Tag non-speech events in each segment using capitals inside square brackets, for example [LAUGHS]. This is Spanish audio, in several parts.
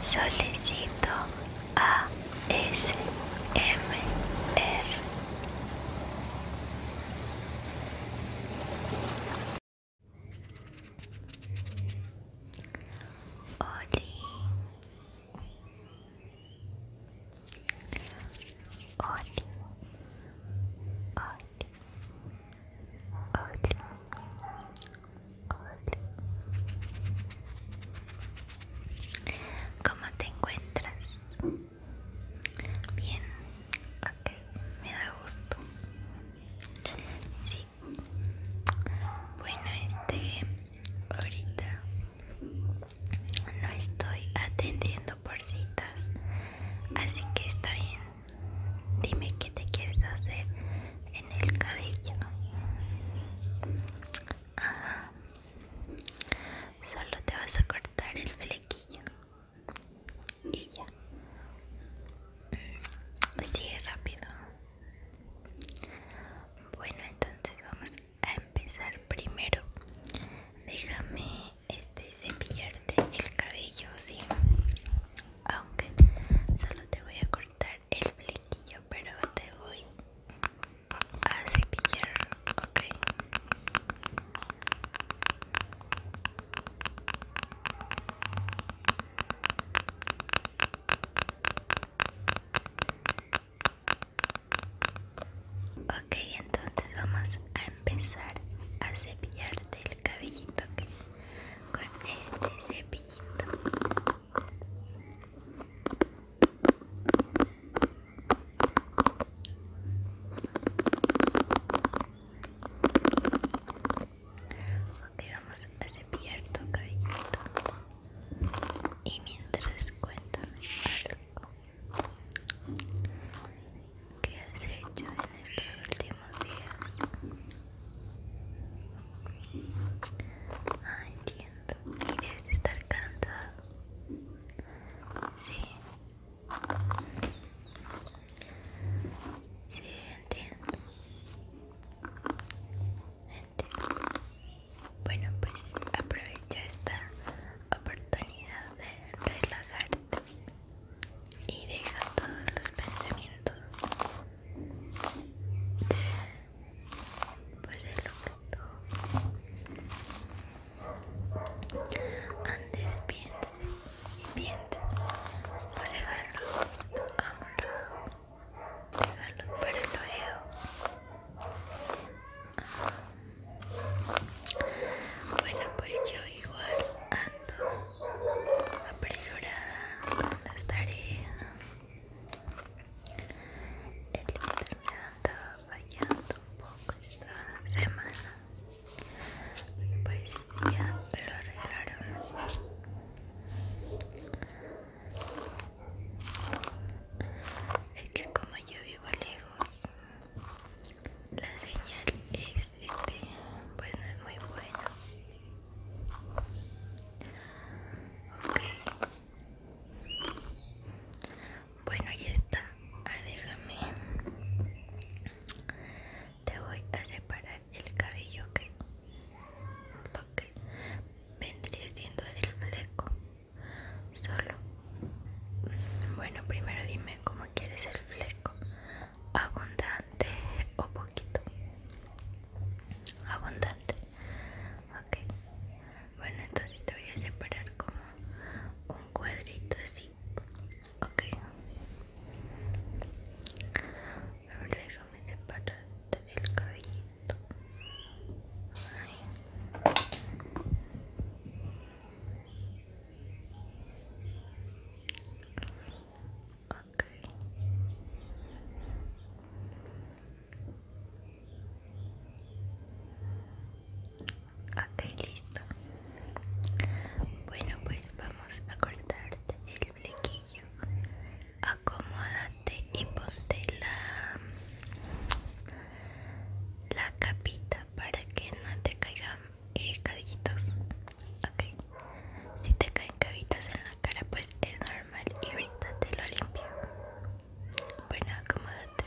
Solicito ASMR. Oli. Oli. Oli. Oli. ¿Cómo te encuentras? Bien, ok, me da gusto. Sí. Bueno, este, ahorita no estoy atendiendo por citas, así que está bien. Dime qué te quieres hacer en el cabello. Solo te vas a cortar el flequillo. Y ya. Mm, Sigue rápido. Bueno, entonces vamos a empezar primero. Déjame este cepillarte el cabello, sí aunque ah, solo te voy a cortar el flequillo, pero te voy a cepillar, ok. Ok, entonces vamos a empezar a cepillarte el cabellito, que con este cepillito ok vamos a cepillar tu cabellito y mientras cuento ¿Qué has hecho en estos últimos días? Ah, entiendo. debes estar cansado. Sí. Sí, entiendo. Entiendo. Bueno, pues aprovecha esta oportunidad de relajarte y deja todos los pensamientos pues de lo que tú antes piense y piense pues dejarlos a un lado dejarlos para el oído ah. bueno pues yo igual ando apresurada con las tareas. El internet andaba fallando un poco esta semana. Pues ya lo arreglaron. Es que como yo vivo lejos, la señal es este pues no es muy buena ok bueno ya está ah, déjame te voy a separar el cabello que que vendría siendo el fleco solo bueno primero dime cómo quieres el fleco abundante o poquito abundante ok bueno entonces te voy a separar como un cuadrito así ok a ver déjame del cabellito Ahí. Okay. ok listo bueno pues vamos a cortarte el flequillo acomódate y ponte la la capita para que no te caigan eh, cabellitos Ok si te caen cabitas en la cara pues es normal y ahorita te lo limpio bueno acomódate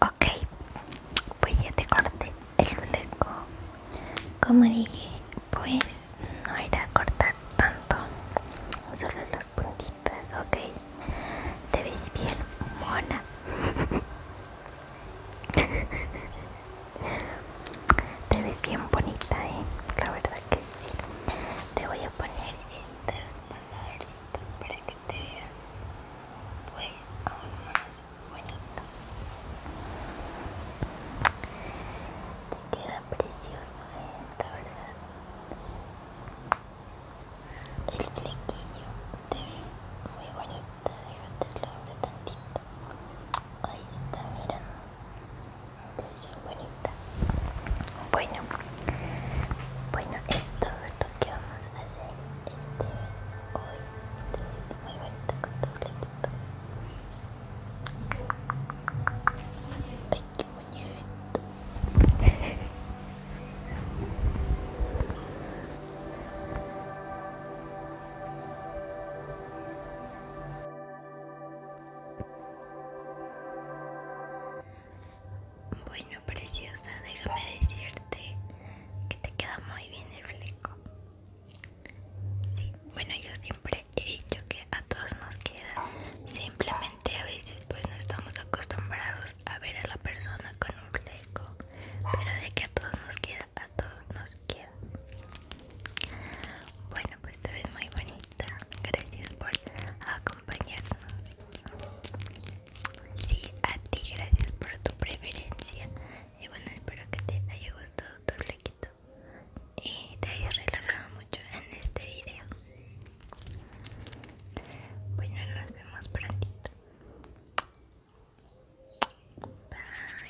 Ok, pues ya te corté el fleco. Como dije, pues no a cortar tanto, solo los ok. Te ves bien, mona. [LAUGHS] Te ves bien bonita, eh. La verdad que sí. Te voy a poner estas pasadores para que te veas, pues, aún más bonito. Te queda precioso, eh, la verdad. El flequillo te ve muy bonita, déjate lo abro tantito. Ahí está, mirando, Te ves muy bonita. Bueno, bueno, es lo que vamos a hacer este hoy. Te ves muy bonita con tu flequito. Ay, qué bueno, preciosa, déjame decirte que te queda muy bien el fleco. Sí, bueno, yo siempre he dicho que a todos nos queda simplemente a veces pues no estamos acostumbrados a ver a la persona con un fleco pero de que a todos nos queda a todos nos queda bueno pues te ves muy bonita gracias por acompañarnos sí a ti gracias por tu preferencia y bueno espero que te haya gustado tu flequito y te he relajado mucho en este video bueno nos vemos prontito bye